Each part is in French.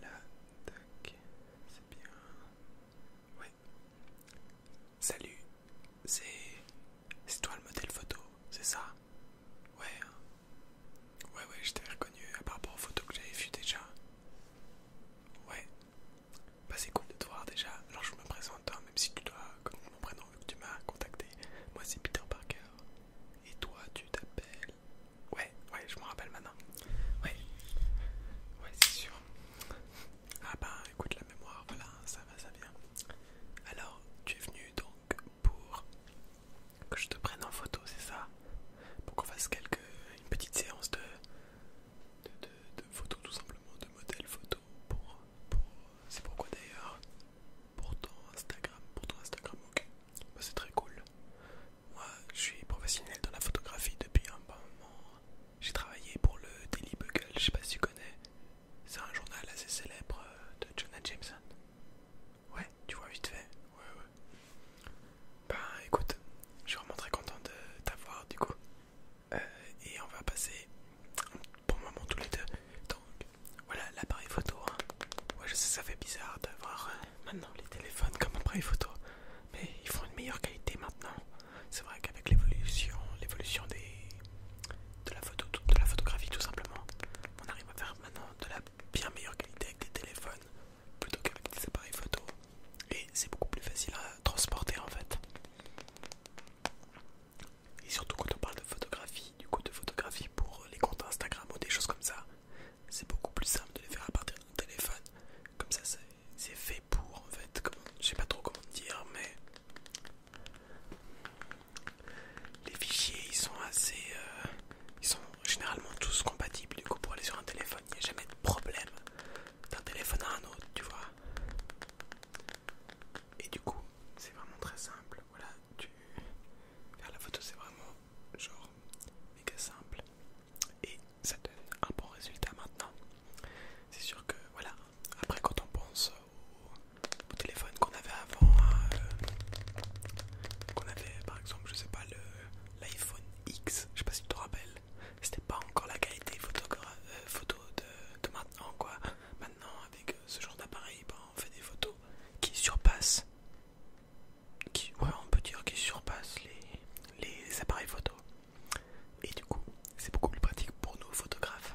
Voilà, c'est bien. Salut, c'est. toi le modèle photo, c'est ça Ouais. Hein. Ouais, ouais, je t'ai reconnu par rapport aux photos que j'avais vues déjà. Ouais. Bah, c'est cool de te voir déjà. Alors, je me présente, hein, même si tu dois, mon prénom vu que tu m'as contacté. Moi c'est Peter Parker. Et toi tu t'appelles... Ouais, ouais, je me rappelle maintenant. Ouais, ouais c'est sûr. Ah bah ben, écoute la mémoire, voilà, ça va, ça vient. Alors, tu es venu donc pour que je te prenne en photo, c'est ça Pour qu'on fasse quelques... une petite séance de... De, photos tout simplement, de modèles photo pour c'est pourquoi d'ailleurs pour ton Instagram, pour ton Instagram, ok, bah, c'est très cool. Moi, je suis professionnel dans la photographie depuis un bon moment. J'ai travaillé pour le Daily Bugle, je sais pas si tu connais. C'est un journal assez célèbre euh, de Jonah Jameson. Ouais, tu vois vite fait. Ouais, ouais. Bah écoute, je suis vraiment très content de t'avoir du coup. Euh, et on va passer pour moment tous les deux. Donc voilà l'appareil photo. Hein. je sais, ça fait bizarre d'avoir euh, maintenant les téléphones comme appareil photo, mais ils font une meilleure qualité maintenant. C'est vrai qu'avec l'évolution, l'évolution des de la photo, de la photographie tout simplement, on arrive à faire maintenant de la bien meilleure qualité avec des téléphones plutôt qu'avec des appareils photo. Et c'est beaucoup plus facile à transporter en fait. Et surtout quand on parle de photographie, du coup de photographie pour les comptes Instagram ou des choses comme ça, c'est beaucoup plus simple de les faire à partir d'un téléphone. Comme ça c'est fait pour en fait, comme, je sais pas trop comment dire, mais les fichiers ils sont assez... Euh, ils sont généralement tous compatibles du coup pour aller sur un téléphone, il n'y a jamais de problème d'un téléphone à un autre, tu vois. Et du coup, c'est vraiment très simple. Voilà, tu faire la photo, c'est vraiment genre méga simple et ça donne un bon résultat maintenant. C'est sûr que voilà, après quand on pense au, téléphone qu'on avait avant, hein, euh, qu'on avait par exemple, je sais pas, l'iPhone X, je sais pas si tu te rappelles, c'était pas encore la qualité euh, photo, photo de maintenant quoi. Non, avec euh, ce genre d'appareil ben, on fait des photos qui surpassent on peut dire les, les appareils photo et du coup c'est beaucoup plus pratique pour nous photographes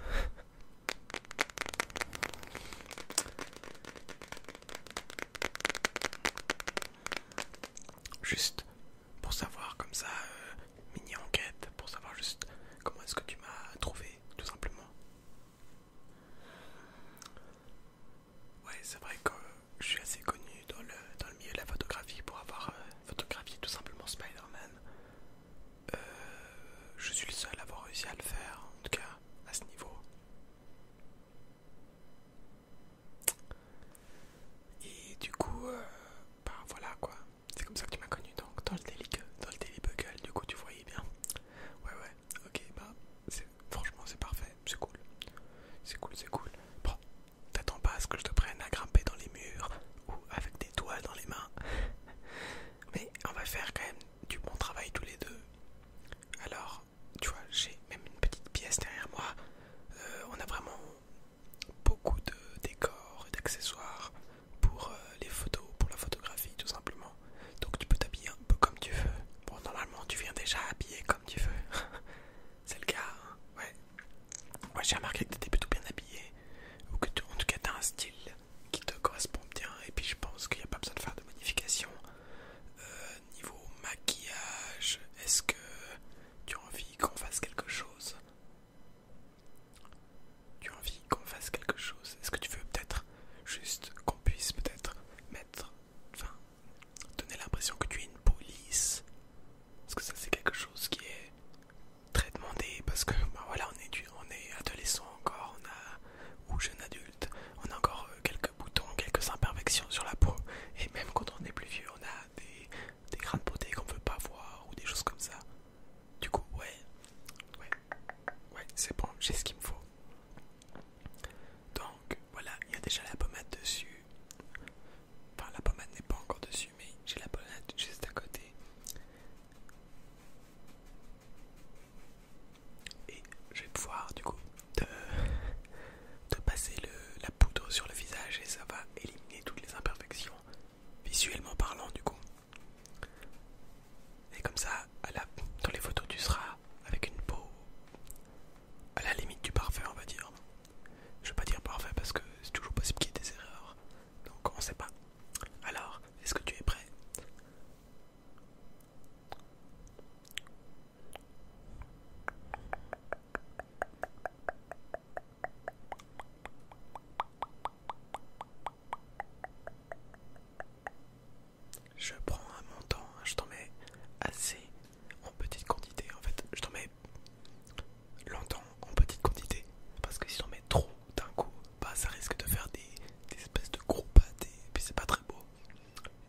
juste pour savoir comme ça euh, mini enquête pour savoir juste comment est-ce que tu m'as trouvé tout simplement. Ouais, c'est vrai que je suis assez connu dans le, dans le milieu de la photographie pour avoir euh, photographié tout simplement Spider-Man. Euh, je suis le seul à avoir réussi à le faire, en tout cas à ce niveau. Et du coup, euh, bah voilà quoi. C'est comme ça que tu m'as connu, donc dans le Daily, dans le Bugle, du coup tu voyais bien. Ouais, ouais, ok, bah franchement c'est parfait, c'est cool. C'est cool, c'est cool. Bon, t'attends pas à ce que je te prenne à grimper dans les murs ou avec des toiles dans les mains. Mais on va faire quand même du bon travail tous les deux. Alors, tu vois, j'ai même une petite pièce derrière moi. Euh, on a vraiment beaucoup de décors et d'accessoires pour euh, les photos, pour la photographie tout simplement. Donc tu peux t'habiller un peu comme tu veux. Bon normalement tu viens déjà habillé comme tu veux. C'est le cas, hein. ouais. Moi j'ai remarqué que tu étais plutôt bien habillé. Ou que tu, en tout cas tu as un style qui te correspond bien. Et puis je pense qu'il n'y a pas besoin de faire de modifications. Euh, niveau maquillage, est-ce que tu as envie qu'on fasse quelque chose tu as envie qu'on fasse quelque chose Est-ce que tu veux peut-être juste qu'on puisse peut-être mettre, enfin, donner l'impression que tu es une police Parce que ça c'est quelque chose qui est très demandé parce que ben voilà on est, on est adolescent encore, on a ou jeune adulte, on a encore euh, quelques boutons, quelques imperfections sur la peau et même quand on est plus vieux on a des, des grains de beauté qu'on ne veut pas voir ou des choses comme ça. Du coup, ouais, ouais, ouais, c'est bon, j'ai ce qu'il me faut. Donc, voilà, il y a déjà la pommade dessus. Enfin, la pommade n'est pas encore dessus, mais j'ai la pommade juste à côté. Et je vais pouvoir, du coup, te passer la poudre sur le visage et ça va éliminer toutes les imperfections, visuellement parlant, du coup. Et comme ça, dans les photos, tu seras avec une peau à la limite du parfait, on va dire. Je vais pas dire parfait parce que c'est toujours possible qu'il y ait des erreurs. Donc on sait pas. Alors, est-ce que tu es prêt je prends un montant, hein, je t'en mets assez en petite quantité. En fait, je t'en mets longtemps en petite quantité. Parce que si t'en mets trop d'un coup, bah, ça risque de faire des, espèces de gros pâtés. Et puis c'est pas très beau.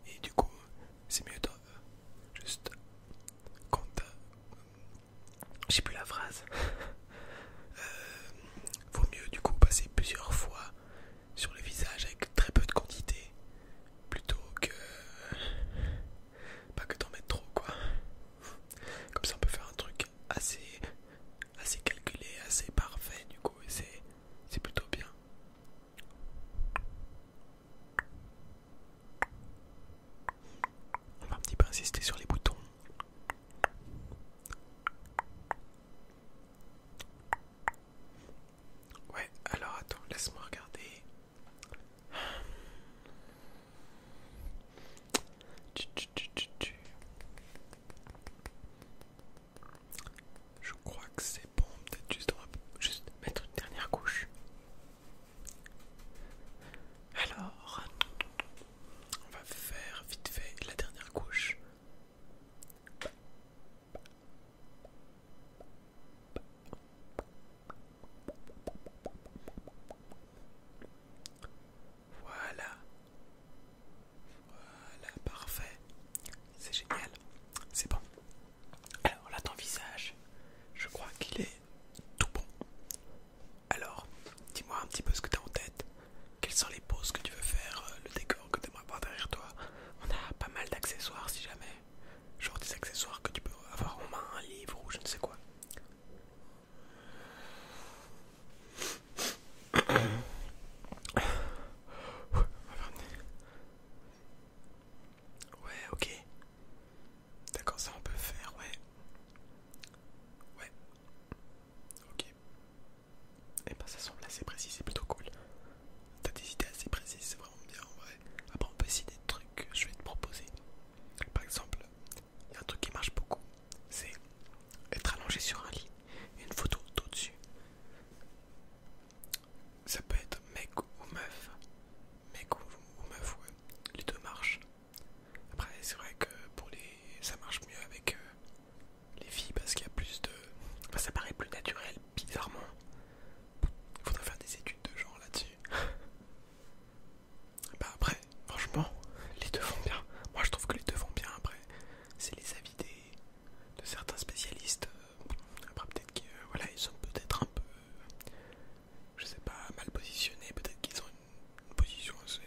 Et du coup, c'est mieux de juste quand t'as... Euh, j'ai plus la phrase. Euh, vaut mieux du coup passer plusieurs fois sur le visage avec très peu de quantité plutôt que pas que d'en mettre trop quoi. Comme ça on peut faire un truc assez assez calculé, assez parfait du coup et c'est plutôt bien. On va un petit peu insister sur les boutons. Ouais, alors attends, laisse-moi regarder. Je crois que c'est bon, peut-être juste, juste mettre une dernière couche. Alors, on va faire vite fait la dernière couche voilà. Voilà, parfait. C'est génial. C'est bon. Alors là, ton visage, je crois qu'il est tout bon. Alors, dis-moi un petit peu ce que tu as en tête quelles sont les poses que tu veux faire, euh, le décor que tu aimerais voir derrière toi. On a pas mal d'accessoires si jamais, genre des accessoires que tu peux avoir en main, un livre ou je ne sais quoi. Ouais, ok. D'accord, ça on peut faire, ouais. Ouais. Ok. Et eh bah ben, ça semble assez précis, c'est plutôt cool. T'as des idées assez précises, c'est vraiment bien en vrai. Après on peut essayer des trucs que je vais te proposer. Par exemple, il y a un truc qui marche beaucoup, c'est être allongé sur un lit, une photo d'au-dessus. Ça peut être mec ou meuf. Mec ou, meuf, ouais. Les deux marchent. Après c'est vrai que pour les. ça marche mieux avec euh, les filles parce qu'il y a plus de. ça paraît plus naturel, bizarrement. Il faudrait faire des études de genre là-dessus. bah, après, franchement, les deux vont bien. Moi, je trouve que les deux vont bien. Après, c'est les avis des... de certains spécialistes. Euh, après, peut-être qu'ils euh, voilà, ils sont peut-être un peu. Je sais pas, mal positionnés. Peut-être qu'ils ont une position assez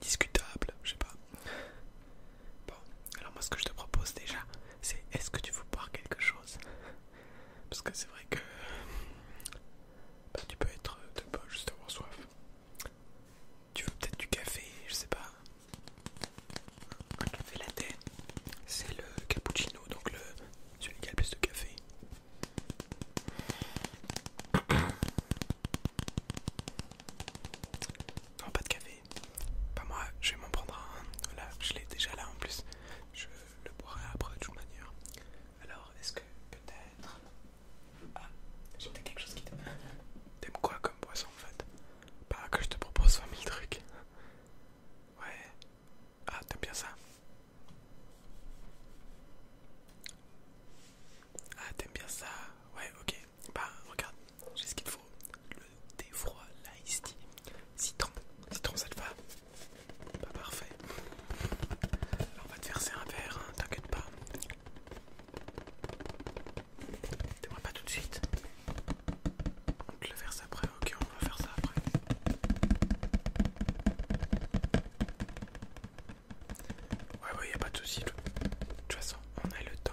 discutable, je sais pas. Bon, alors moi ce que je te propose déjà, c'est est-ce que tu veux boire quelque chose Parce que c'est vrai que bah, tu peux être, tu peux juste avoir soif. Tu veux peut-être du café, je sais pas. c'est le cappuccino, donc le celui qui a le plus de café. Non, pas de café. Pas moi, je vais m'en prendre un. Voilà, je l'ai déjà là en plus. Je le boirai après de toute manière. Alors, est-ce que peut-être. Ah, j'ai peut-être quelque chose qui te. T'aimes quoi comme boisson en fait Pas que je te propose 20 trucs. Ouais. Ah, t'aimes bien ça Ah, t'aimes bien ça Ouais, ok. Bah regarde, j'ai ce qu'il faut. Le thé froid, l'ice tea, citron, citron ça te va Pas parfait. on va te verser un verre, hein, t'inquiète pas. T'aimerais pas tout de suite On te le verse après, ok on va faire ça après. Ouais, il y a pas de souci. De toute façon, on a le temps.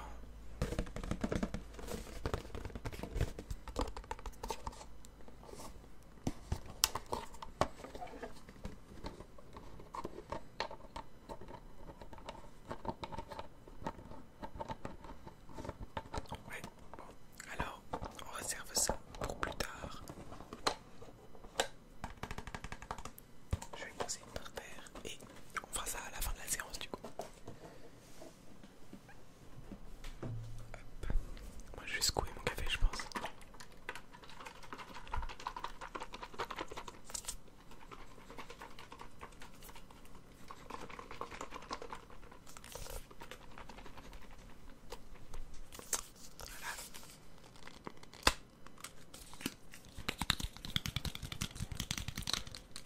Ouais, bon, alors on réserve ça pour plus tard. Je vais poser par terre et on fera ça à la fin de la séance du coup. Moi je vais secouer mon café je pense. Voilà.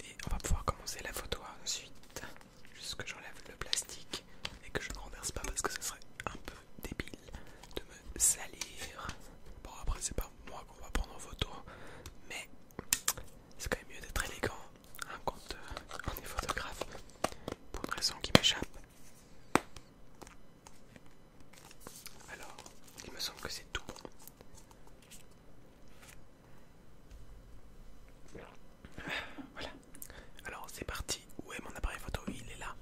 Et on va pouvoir commencer la photo ensuite. Juste que j'enlève le plastique et que je ne renverse pas parce que ce serait un peu débile de me salir. Bon, après, c'est pas moi qu'on va prendre en photo, mais c'est quand même mieux d'être élégant hein, quand euh, on est photographe pour une raison qui m'échappe. Alors, il me semble que c'est tout bon. Voilà, alors c'est parti. Où est mon appareil photo Il est là.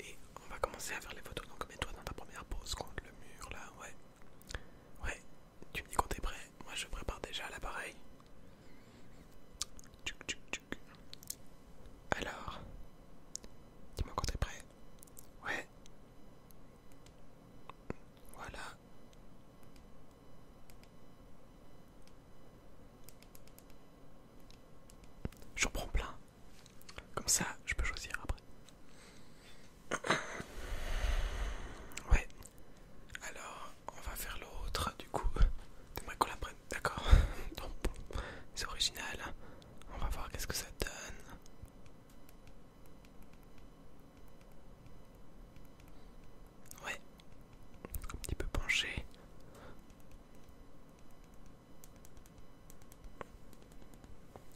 Et on va commencer à faire les photos. Donc mets-toi dans ta première pose contre le mur là, ouais. Ouais, tu me dis quand t'es prêt. Moi je prépare déjà l'appareil. Alors, dis-moi quand t'es prêt ouais. Voilà. J'en prends plein. Comme ça, je peux choisir après. Ouais. Alors, on va faire l'autre, du coup. j'aimerais qu'on la prenne, d'accord C'est original. On va voir qu'est-ce que ça donne. Ouais, un petit peu penché.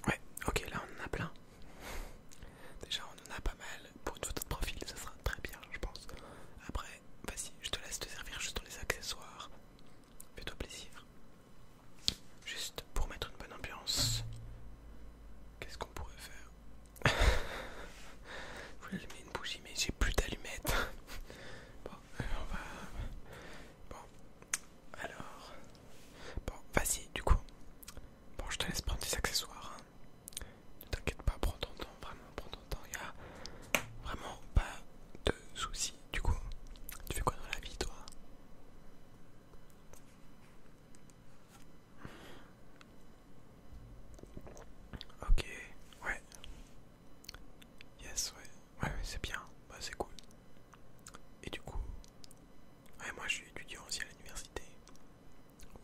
Ouais, ok, là on en a plein. Déjà on en a pas mal. Pour une photo de profil, ça sera très bien, je pense. Après, vas-y, je te laisse te servir juste les accessoires. Fais-toi plaisir. Juste pour mettre une bonne ambiance. Qu'est-ce qu'on pourrait faire Je voulais allumer une bougie mais j'ai plus d'allumettes. Bon, euh, on va... Bon, alors... Bon, vas-y, du coup. Bon, je te laisse prendre tes accessoires. Hein. Ne t'inquiète pas, prends ton temps, vraiment, prends ton temps. Il y a vraiment pas de soucis. Du coup, tu fais quoi dans la vie, toi Ok, ouais. Yes, ouais. Ouais, c'est bien. Bah, c'est cool. Et du coup, ouais, moi je suis étudiant aussi à l'université.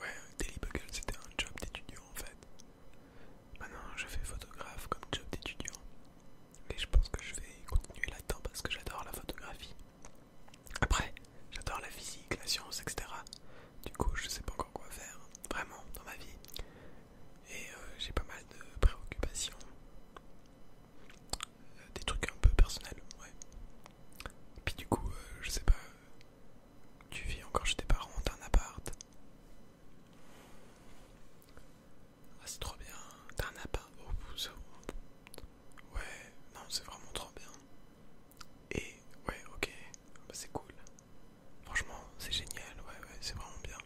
Ouais, Daily c'était un job d'étudiant en fait. Maintenant je fais photographe comme job d'étudiant. Et je pense que je vais continuer là-dedans parce que j'adore la photographie. Après, j'adore la physique, la science, etc. Du coup, je sais pas encore quoi faire, vraiment, dans ma vie. Et euh, j'ai pas mal de préoccupations. Euh, des trucs un peu personnels, ouais. Et puis du coup, euh, je sais pas. Tu vis encore chez tes parents, t'as un appart. Ah, c'est trop bien. T'as un appart. Ouais, non, c'est vraiment trop bien. Et ouais, ok, bah, c'est cool. Franchement, c'est génial, ouais, ouais, c'est vraiment bien.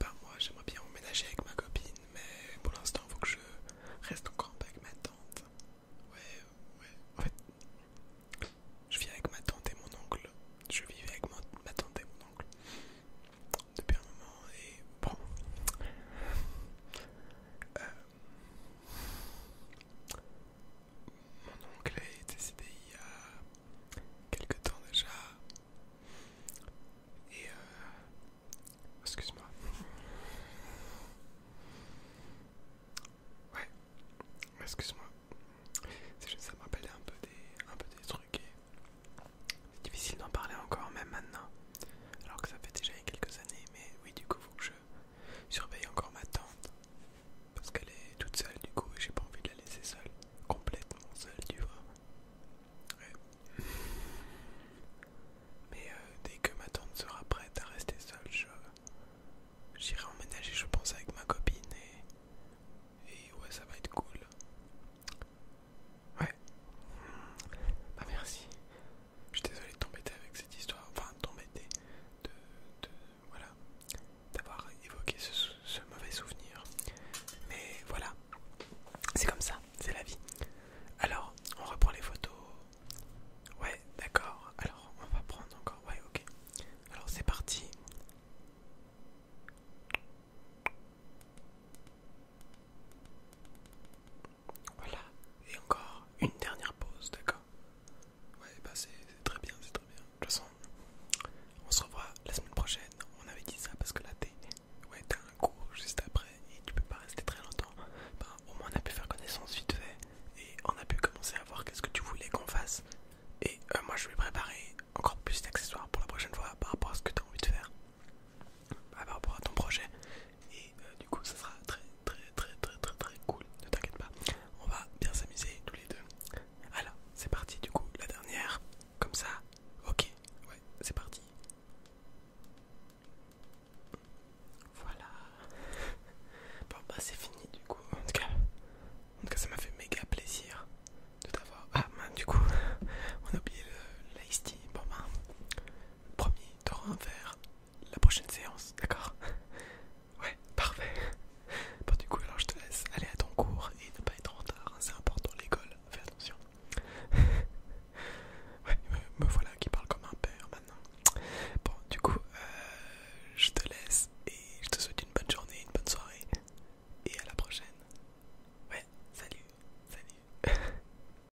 Bah, moi, j'aimerais bien emménager avec ma copine, mais pour l'instant, il faut que je reste encore avec ma tante. Ouais, ouais, en fait, je vis avec ma tante et mon oncle. Je vivais avec ma tante et mon oncle depuis un moment et bon euh, mon oncle est décédé il y a quelque temps déjà et euh, excuse-moi ouais excuse-moi c'est juste ça me rappelle un peu des un peu des trucs et c'est difficile d'en parler encore, même maintenant. Alors que ça fait déjà quelques années, mais oui, du coup, faut que je surveille encore ma tante. Parce qu'elle est toute seule, du coup, et j'ai pas envie de la laisser seule. Complètement seule, tu vois. Ouais. Mais euh, dès que ma tante sera prête à rester seule, je. J'irai emménager, je pense, avec ma copine et. Et ouais, ça va être cool. Ouais. Bah, merci. Je suis désolé de t'embêter avec cette histoire, enfin t'embêter de, de voilà d'avoir évoqué ce mauvais souvenir. Mais voilà, c'est comme ça, c'est la vie. Alors, on reprend les photos. Ouais, d'accord. Alors, on va prendre encore. Ouais, ok. Alors, c'est parti. Voilà, et encore une dernière pause, d'accord Ouais, bah c'est très bien, c'est très bien. De toute façon, on se revoit la semaine prochaine. On avait dit ça parce que là, Ouais, t'as un cours juste après et tu peux pas rester très longtemps. Bah, au moins, on a pu faire connaissance vite fait et on a pu commencer à voir qu'est-ce que tu voulais qu'on fasse. Et euh, moi, je vais préparer encore plus d'accessoires pour la prochaine fois par rapport à ce que t'as envie de faire. Ah, par rapport à ton projet et euh, du coup ça sera très très très très très très cool ne t'inquiète pas on va bien s'amuser tous les deux alors c'est parti du coup la dernière comme ça ok ouais c'est parti voilà bon bah c'est fini du coup en tout cas tout cas ça m'a fait méga plaisir de t'avoir ah bah, du coup on a oublié le bon bah Promis, t'auras un verre la prochaine séance, d'accord Ouais, parfait. Bon, du coup, alors je te laisse aller à ton cours et ne pas être en retard, hein, c'est important l'école, fais attention. ouais, me, voilà qui parle comme un père maintenant. Bon, du coup, euh, je te laisse et je te souhaite une bonne journée, une bonne soirée et à la prochaine. Ouais, salut, salut.